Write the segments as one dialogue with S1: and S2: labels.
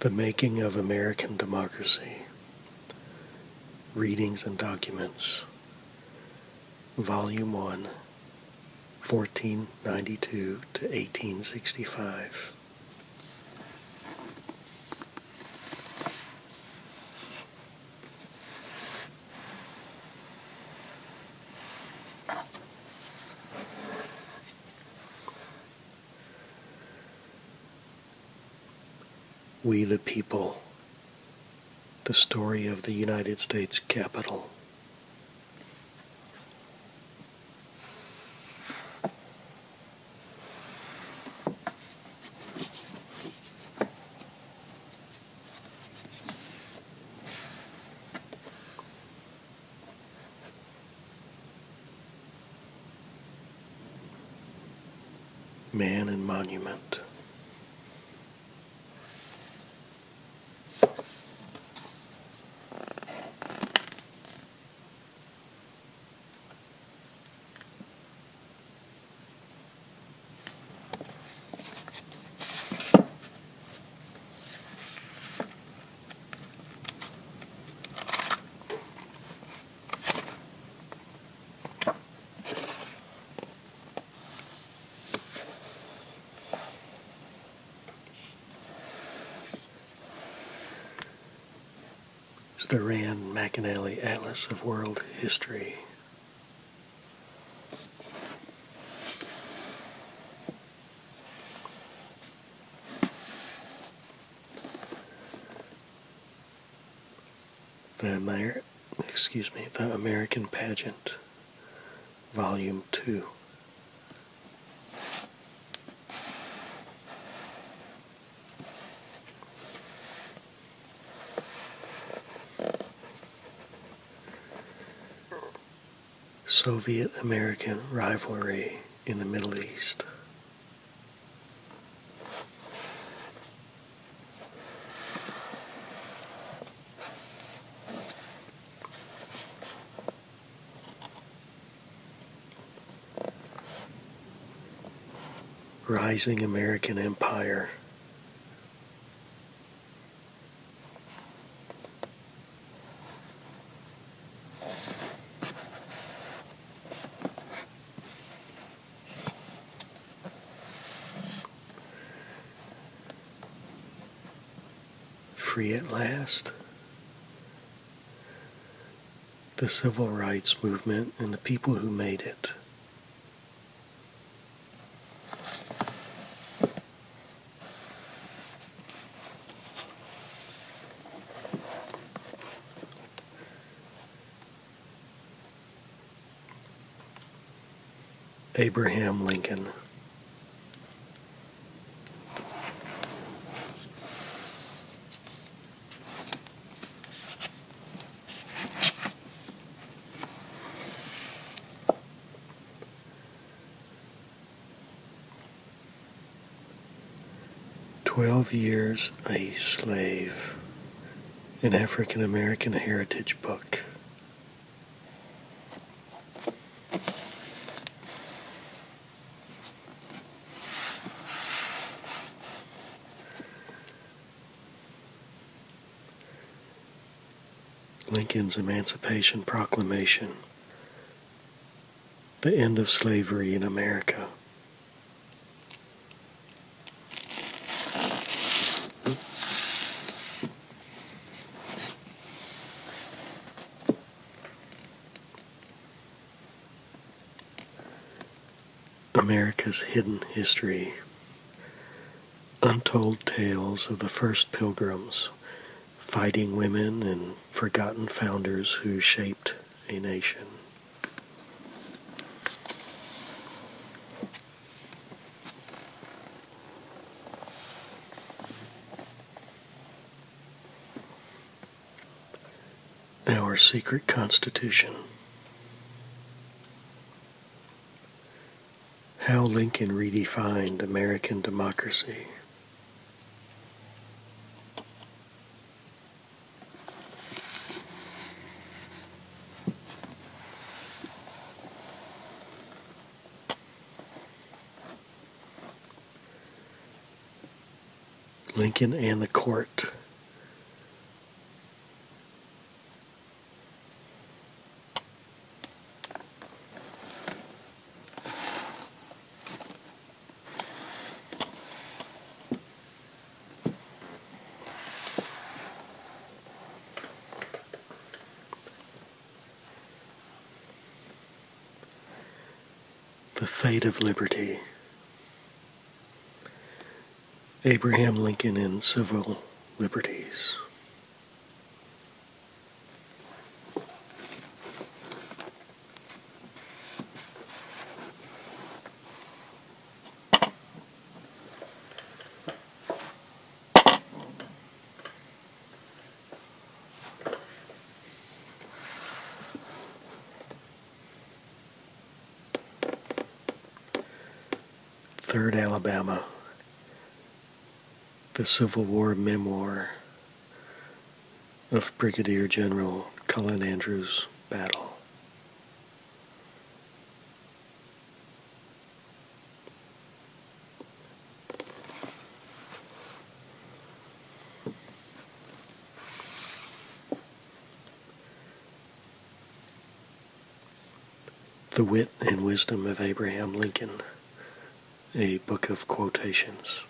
S1: The Making of American Democracy, Readings and Documents, Volume 1, 1492 to 1865. We the People, the story of the United States Capitol. Man and Monument. It's the Rand McAnally Atlas of World History. The Amer excuse me, The American Pageant, Volume 2. Soviet American rivalry in the Middle East. Rising American Empire. Free at last. The civil rights movement and the people who made it. Abraham Lincoln. Twelve years a slave, an African American heritage book. Lincoln's Emancipation Proclamation, the end of slavery in America. America's hidden history. Untold tales of the first pilgrims, fighting women, and forgotten founders who shaped a nation. Our secret constitution. How Lincoln redefined American democracy. Lincoln and the court. The Fate of Liberty. Abraham Lincoln and Civil Liberties. Third Alabama, the Civil War memoir of Brigadier General Cullen Andrews' battle. The Wit and Wisdom of Abraham Lincoln, a book of quotations.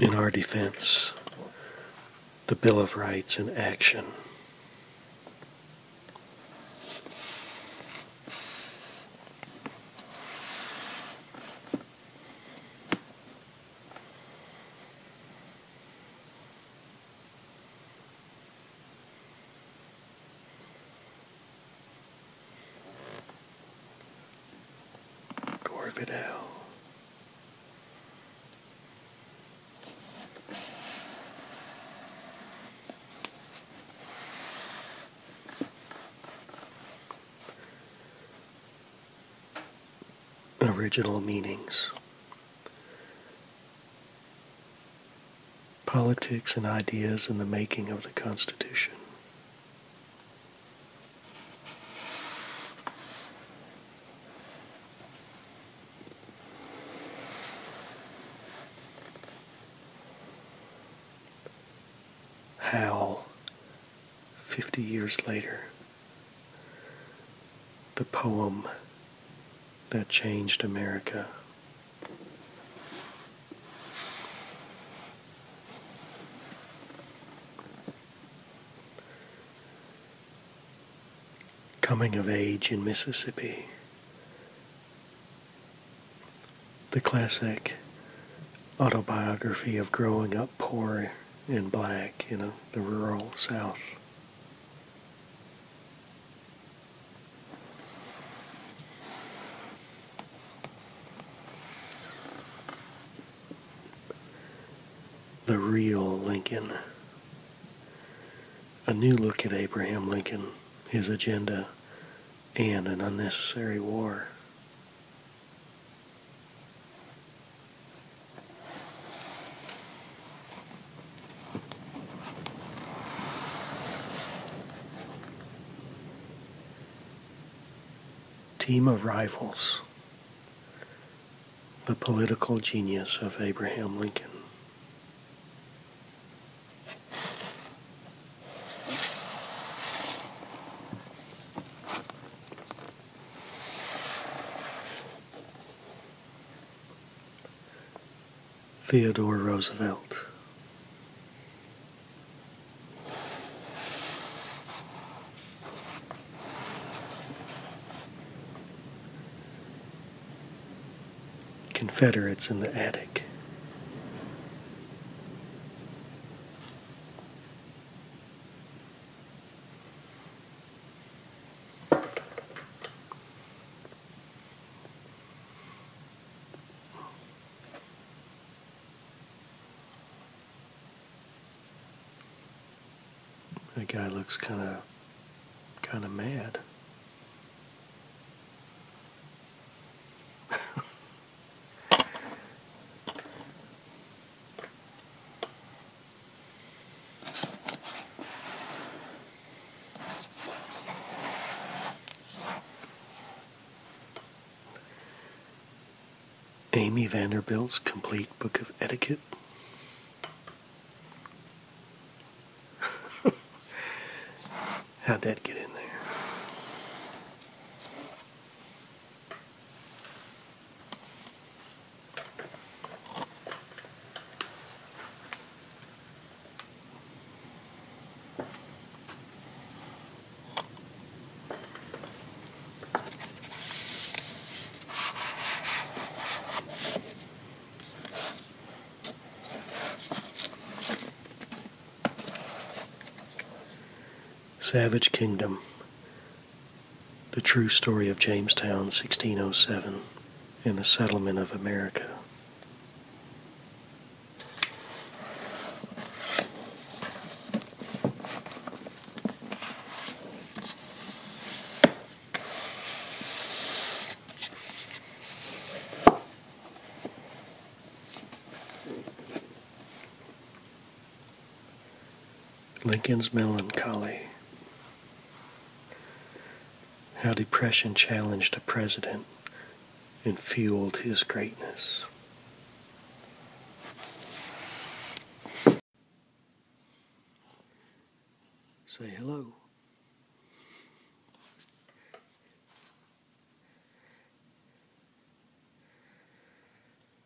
S1: In our defense, the Bill of Rights in action. Gore original meanings. Politics and ideas in the making of the Constitution. How, 50 years later, the poem that changed America. Coming of Age in Mississippi. The classic autobiography of growing up poor and black, in the rural South. The real Lincoln. A new look at Abraham Lincoln, his agenda, and an unnecessary war. Team of rivals, the political genius of Abraham Lincoln. Theodore Roosevelt. Confederates in the attic. That guy looks kind of kind of mad. Amy Vanderbilt's Complete Book of Etiquette. How'd that get in there? Savage Kingdom the True Story of Jamestown, 1607, and the Settlement of America. Lincoln's melancholy. How depression challenged a president and fueled his greatness. Say hello.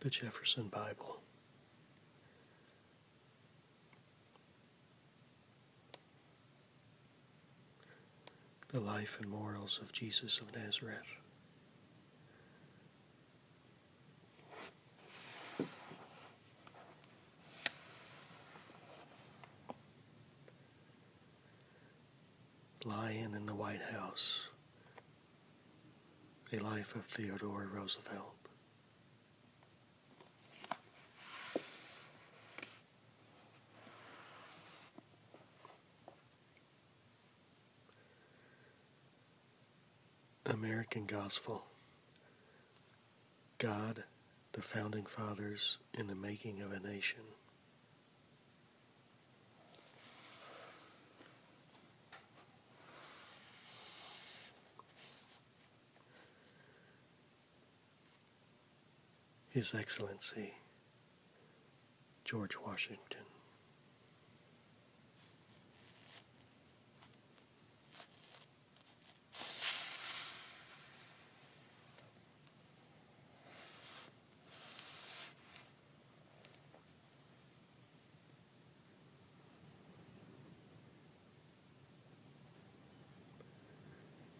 S1: The Jefferson Bible. The life and morals of Jesus of Nazareth. Lion in the White House, A Life of Theodore Roosevelt. American Gospel God, the Founding Fathers, in the Making of a Nation. His Excellency, George Washington.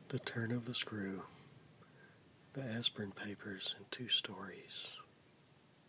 S1: The Turn of the Screw, The Aspern Papers, and Two Stories.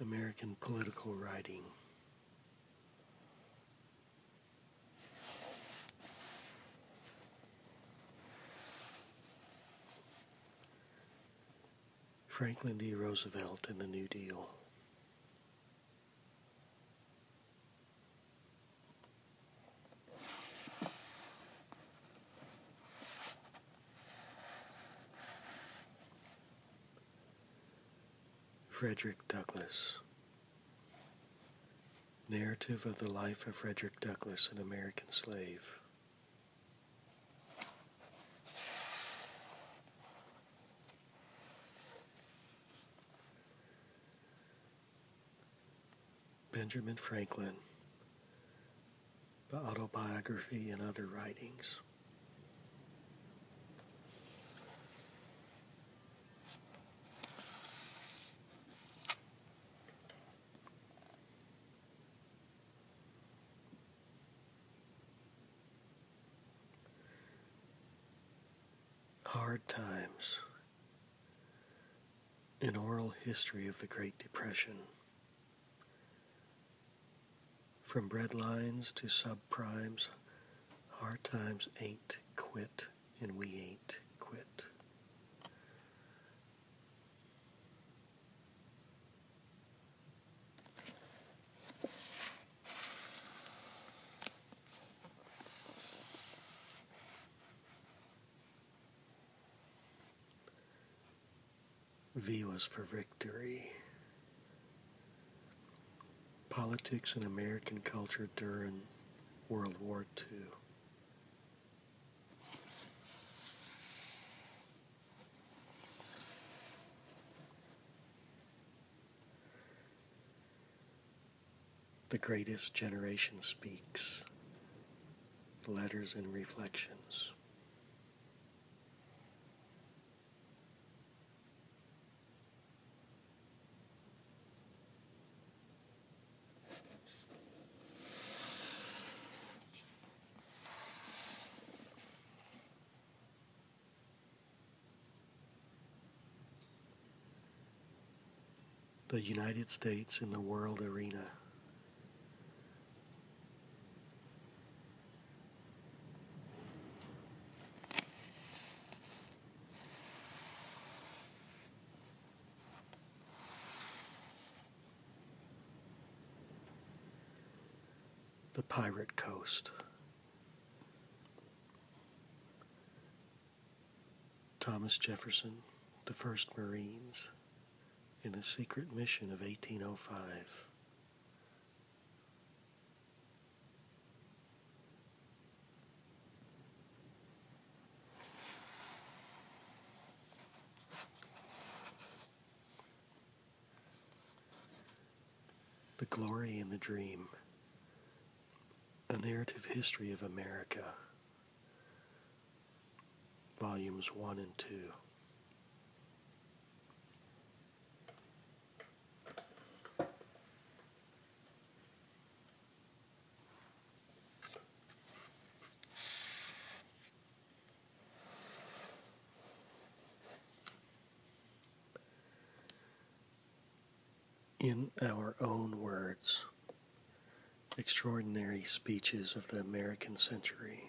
S1: American political writing. Franklin D. Roosevelt and the New Deal. Frederick Douglass. Narrative of the Life of Frederick Douglass, an American Slave. Benjamin Franklin, The Autobiography and Other Writings. Hard times an Oral History of the Great Depression. From breadlines to subprimes, hard times ain't quit, and we ain't quit. V was for victory. Politics and American culture during World War II. The greatest generation speaks. Letters and reflections the United States in the world arena. the Pirate Coast. Thomas Jefferson, the first Marines, in the secret mission of 1805. The Glory in the Dream, a narrative history of America volumes 1 and 2. in our own words extraordinary speeches of the American century.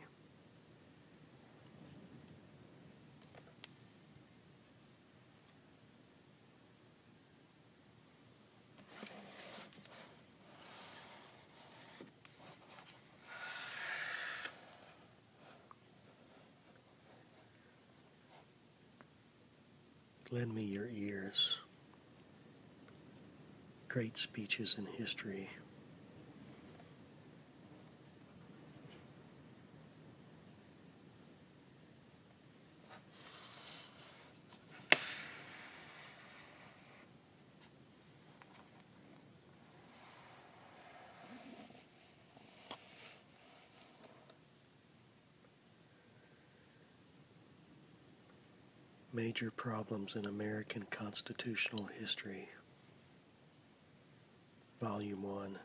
S1: Lend me your ears. Great speeches in history. Major Problems in American Constitutional History, Volume 1.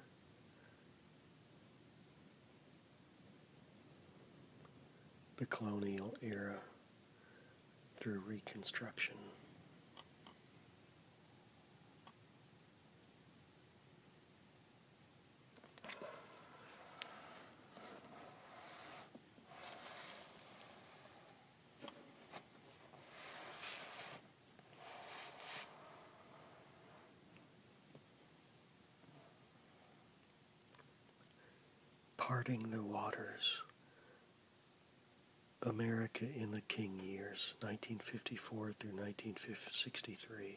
S1: The Colonial Era through Reconstruction. Parting the Waters. America in the King Years, 1954 through 1963.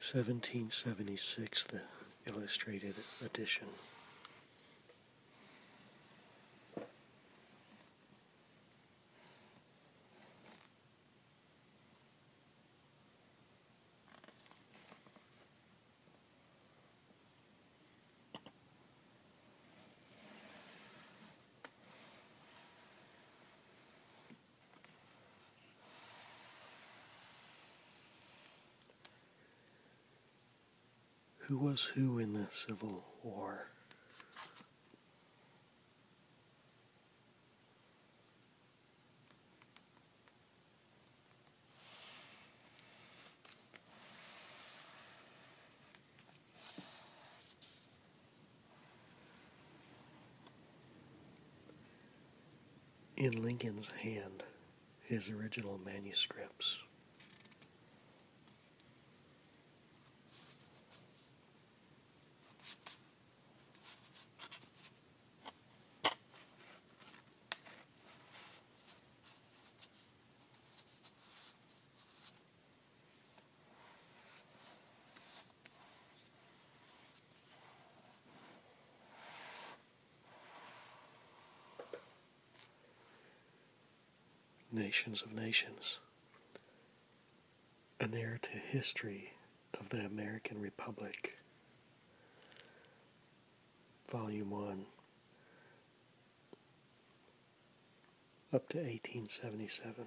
S1: 1776, the illustrated edition. Who was who in the Civil War? in Lincoln's hand his original manuscripts nations of nations, an heir to history of the American Republic, Volume 1, up to 1877.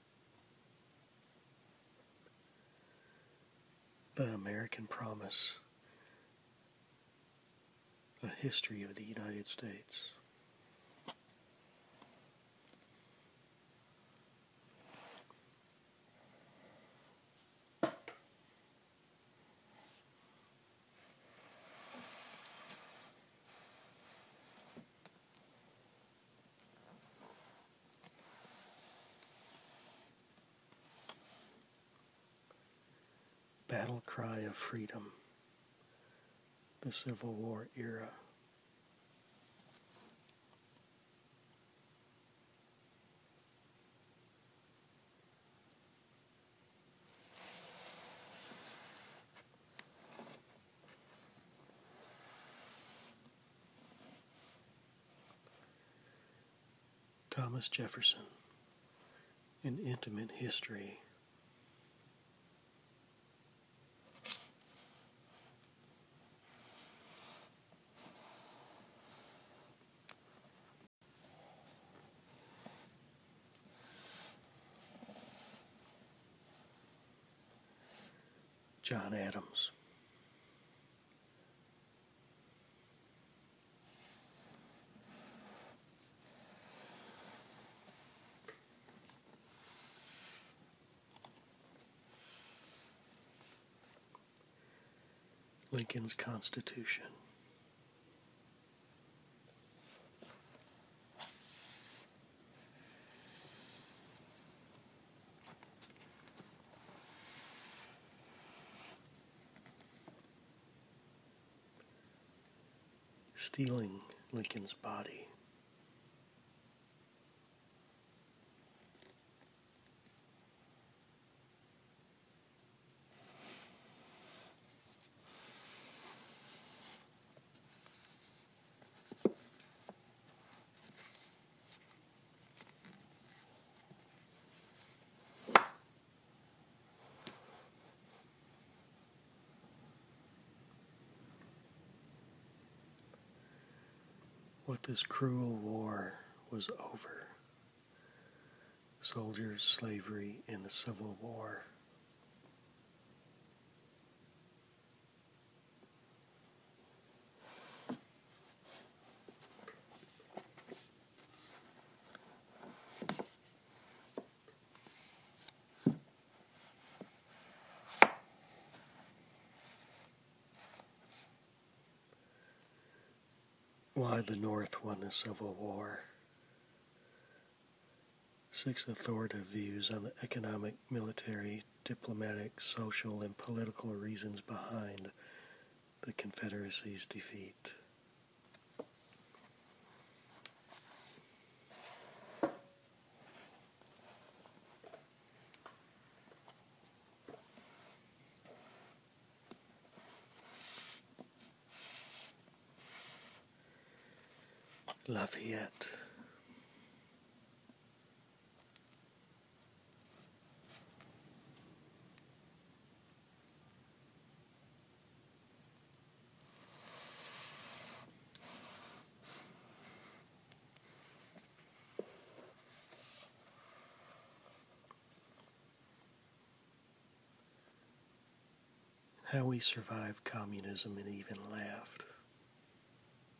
S1: The American Promise A History of the United States. Battle Cry of Freedom, the Civil War era. Thomas Jefferson, an intimate history. John Adams. Lincoln's Constitution. Stealing Lincoln's body. What this cruel war was over. Soldiers, slavery, and the Civil War. Why the North won the Civil War. Six authoritative views on the economic, military, diplomatic, social, and political reasons behind the Confederacy's defeat. Lafayette. How we survived communism and even laughed.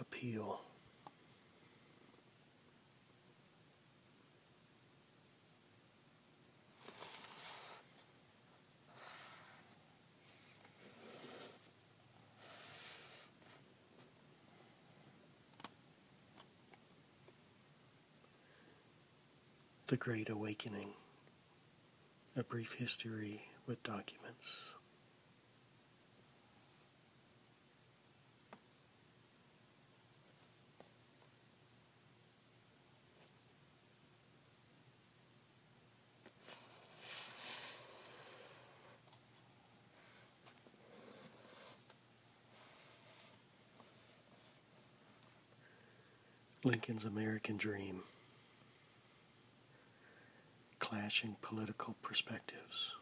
S1: Appeal. The Great Awakening A Brief History with Documents. Lincoln's American Dream, Clashing Political Perspectives.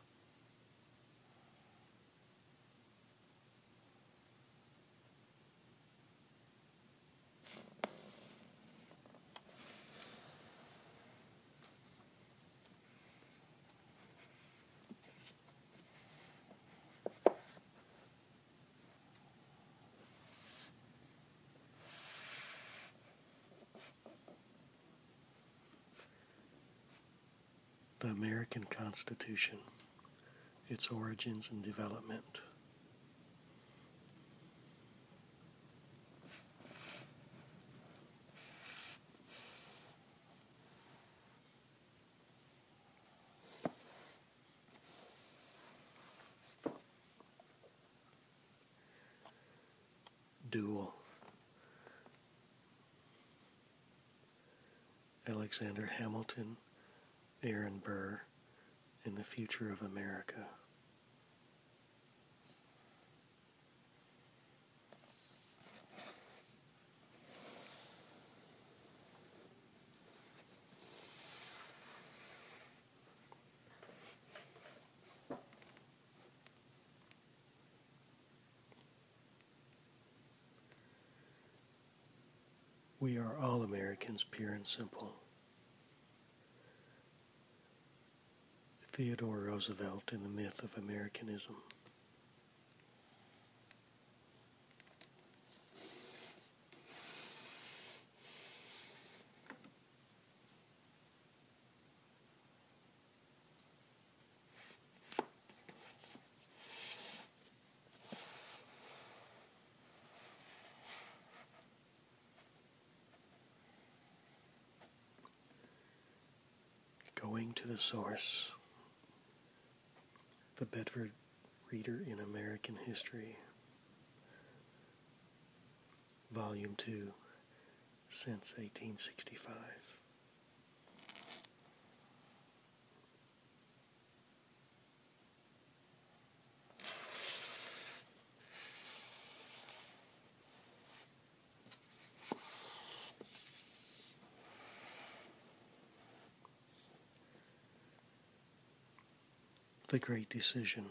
S1: The American Constitution, its origins and development. Dual. Alexander Hamilton, Aaron Burr, and the future of America. We are all Americans, pure and simple. Theodore Roosevelt in the myth of Americanism. Going to the source the Bedford Reader in American History, Volume 2, since 1865. The Great Decision.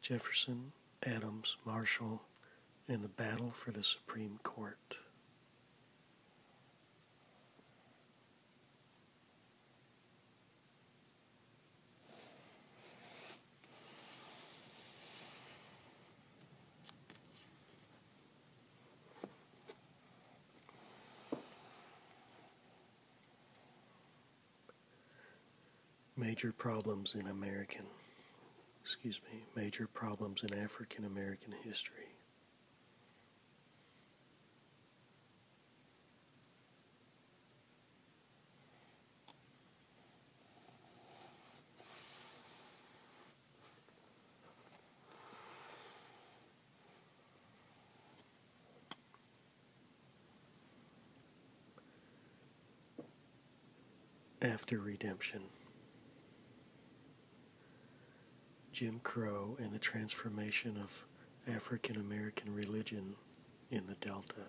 S1: Jefferson, Adams, Marshall, and the Battle for the Supreme Court. Major problems in American, excuse me, major problems in African American history. After redemption, Jim Crow and the transformation of African American religion in the Delta.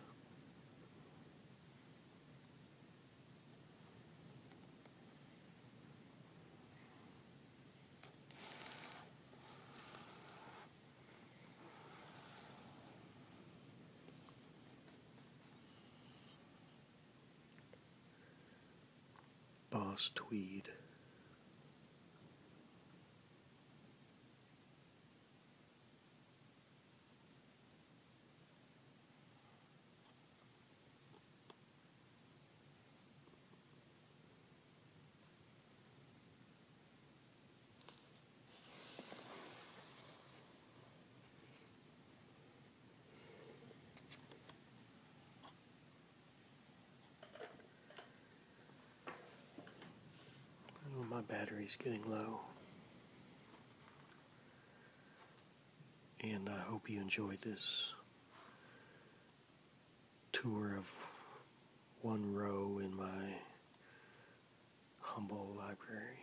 S1: Boss Tweed. Oh, my battery's getting low. And I hope you enjoyed this tour of one row in my humble library.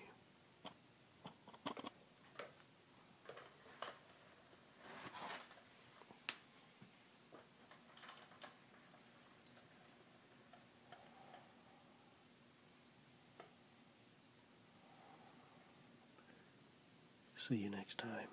S1: See you next time.